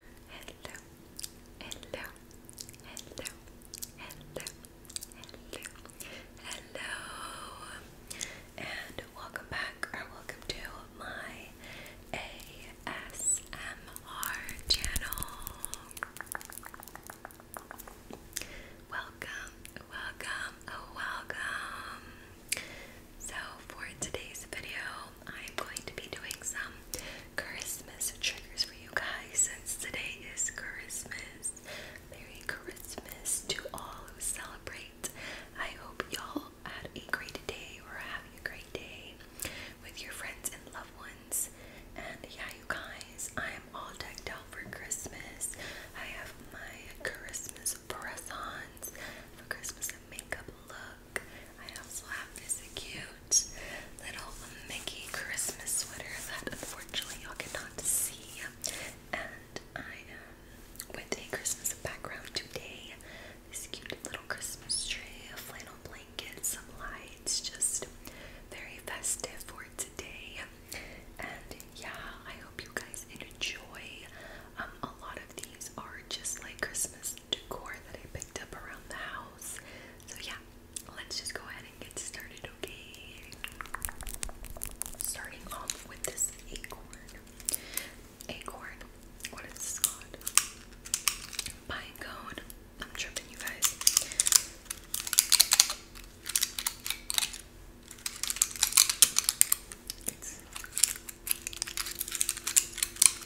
Hello, hello, hello, hello, hello, hello, and welcome back or welcome to my ASMR channel. Welcome, welcome, welcome. So, for today's video, I'm going to be doing some Christmas triggers for you guys since today is Christmas. Merry Christmas to all who celebrate. I hope y'all had a great day or having a great day with your friends and loved ones. And yeah, you guys, I am all decked out for Christmas. I have my Christmas press-ons for Christmas and makeup look. I also have this cute little Mickey Christmas sweater that unfortunately y'all cannot see. And I am with a Christmas background today. This cute little Christmas tree, a flannel blanket, some lights, just very festive for today. And yeah, I hope you guys enjoy. Um, a lot of these are just like Christmas decor that I picked up around the house. So, yeah, let's just go ahead and get started, okay? Starting off with this acorn. Acorn, what is this called? Pine I'm tripping, you guys.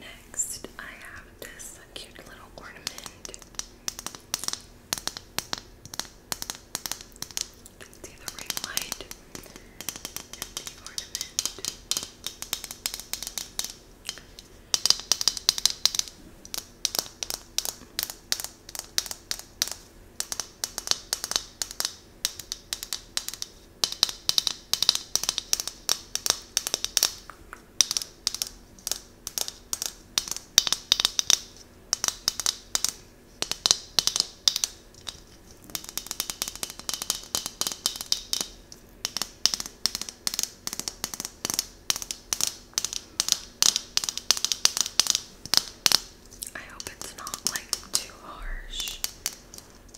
Next, I have this cute little ornament. see the ring light and ornament. I hope it's not like too harsh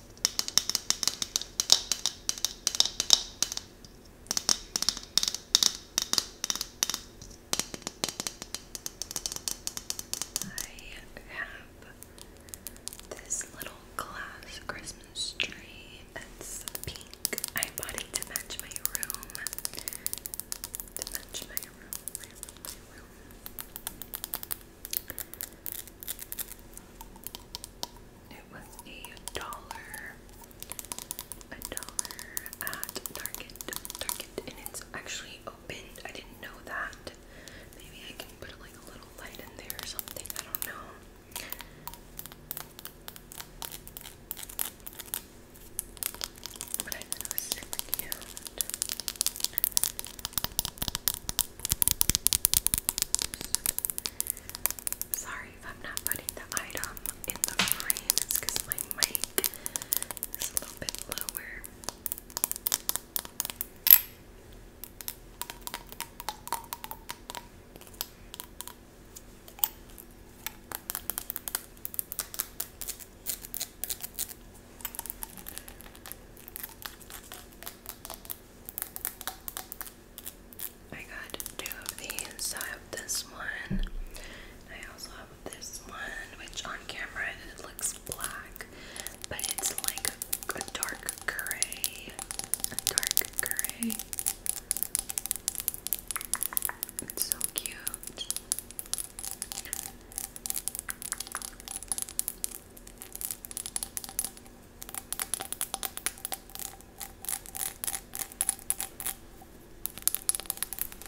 I have this little glass Christmas tree. It's pink. I bought it to match my room. To match my room. It was a dollar, a dollar at Target. Target, and it's actually opened. I didn't know that. Maybe I can put like a little light in there or something. I don't know. But I thought it was super cute. Sorry if I'm not putting the item in the frame, because my mic is a little bit lower. I got two of these. I have this one. I also have this one, which on camera it looks black, but it's like a, dark gray. dark gray. It's so cute.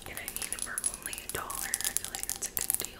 And I need it for only a dollar. I feel like that's a good deal.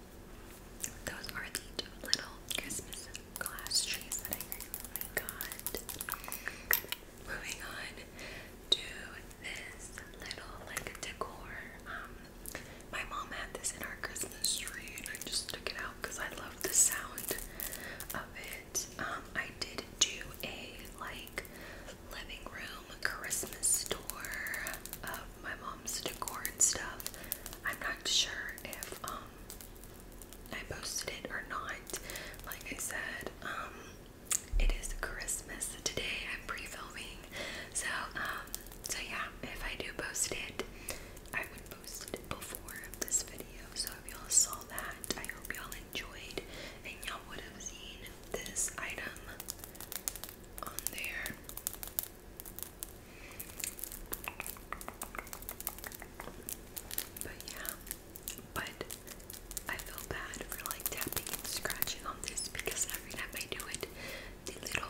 those are the two little Christmas glass trees that I got. Moving on to this little like decor. Um, my mom had this in our Christmas tree, and I just took it out because I love the sound of it. Um, I did do a like living room Christmas store of my mom's decor and stuff. I'm not sure if um I posted it or not. Like I said, um it is Christmas today. I'm pre-filming. So um so yeah, if I do post it, I would post it before this video. So if y'all saw that, I hope y'all enjoyed and y'all would have seen this item on there. But yeah, but I feel bad for like tapping and scratching on this because every time I do it, the little,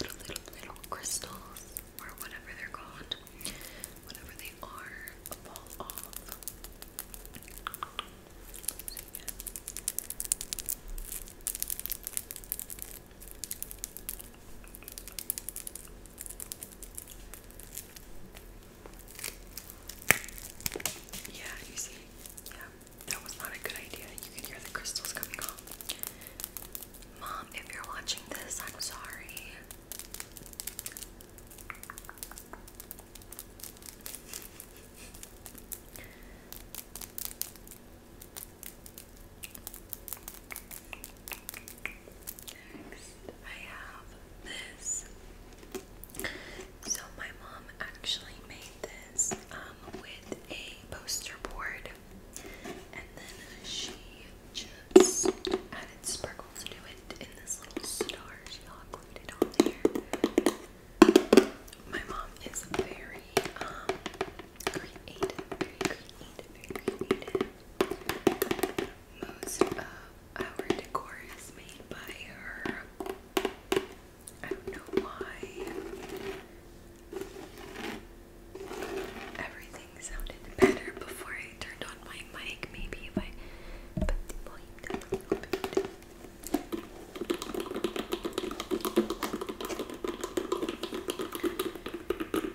little, little, little crystals or whatever they're called, whatever they are, fall off. Yeah, you see? Yeah, that was not a good idea. You can hear the crystals coming off. Mom, if you're watching this, I'm sorry. Next, I have this. So my mom actually made this um, with a poster board, and then she just added sparkles to it in this little star she hot glued it on there. My mom is very um creative, very Most of our decor is made by her. I don't know why. Everything sounded better before I turned on my mic. Maybe if I it's cute.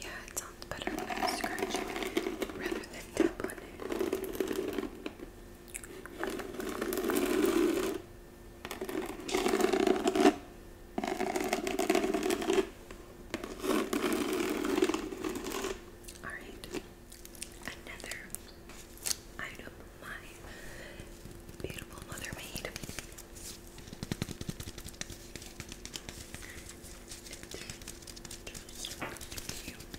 Yeah, it sounds better when I scratch on it rather than tap on it. All right, another item my beautiful mother made. just a cute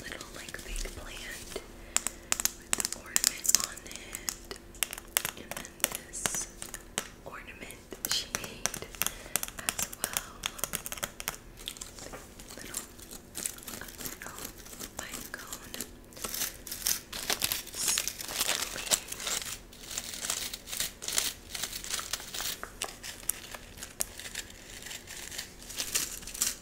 little like fake plant with ornaments on it. And this ornament she made as well. Little, a little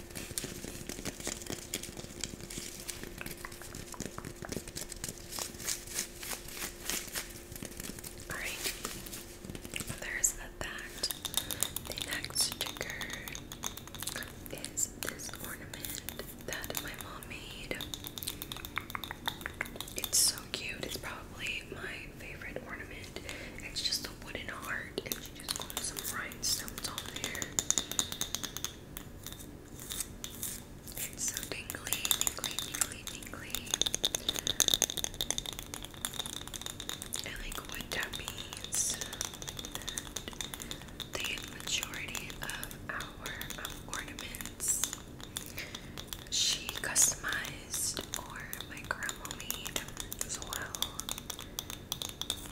All right, there's that. The next trigger is this ornament that my mom made. It's so cute. It's probably my favorite ornament. It's just wooden heart and she just put some rhinestones on there. It's so tingly, tingly, tingly, tingly. I like wood tappings. The majority of our um, ornaments she customized or my grandma made as well.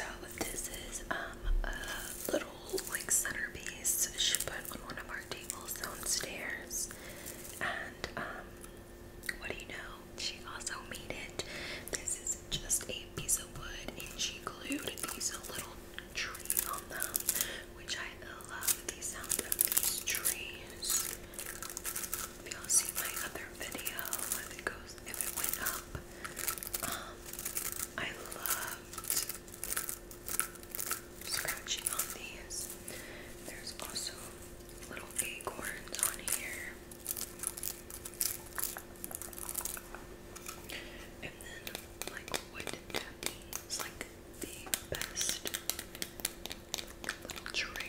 Okay, so this is um a little like centerpiece she put on one of our tables downstairs. And um, what do you know? She also made it. This is just a piece of wood, and she glued these little trees on them, which I love the sound of these trees. If y'all see my other video, if it goes, if it went up, um, I loved scratching on these. There's also little acorns on here. And then like wood tapping like the best little trigger.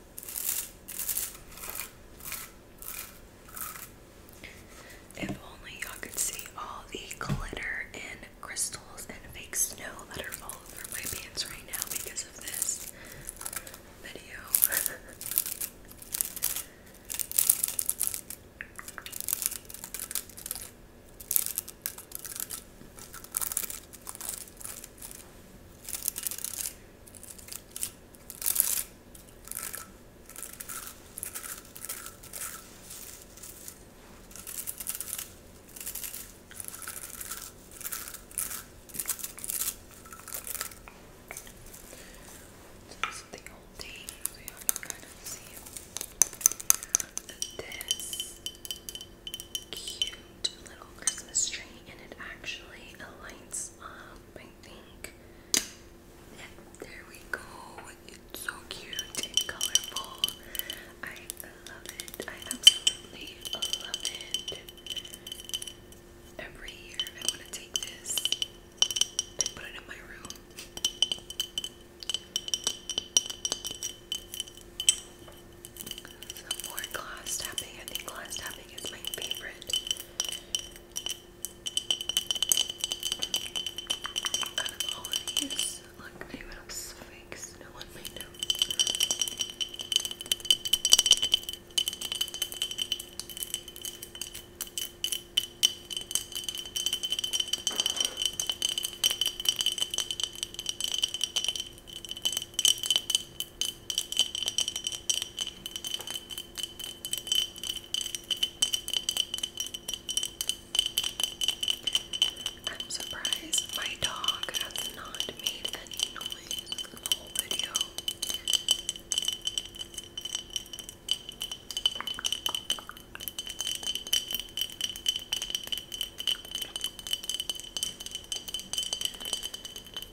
If only y'all could see all the glitter and crystals and fake snow that are all over my pants right now because of this video. This the whole thing, so you can kind of see this cute little Christmas tree and it actually lights up, I think. there we go. It's so cute and colorful. I love it. I absolutely love it. Every year I want to take this and put it in my room. Some more glass tapping. I think glass tapping is my favorite. Out of all of these, look, I even have sphinx. No one may know. I'm surprised my dog has not made any noise in the whole video.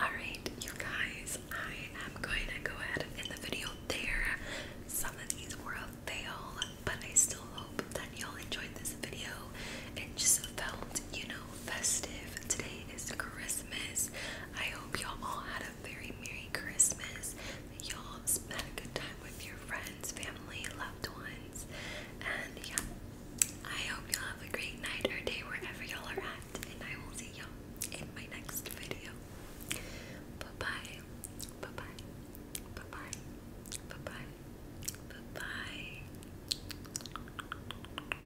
Alright, you guys, I am going to go ahead and end the video there. Some of these were a fail, but I still hope that y'all enjoyed this video and just felt, you know, festive. Today is Christmas. I hope y'all all had a very Merry Christmas. Y'all spent a good time with your friends, family, loved ones. And yeah, I hope y'all have a great night or day wherever y'all are at. And I will see y'all in my next video. Bye bye. Bye bye. Bye bye. Bye bye. Bye bye.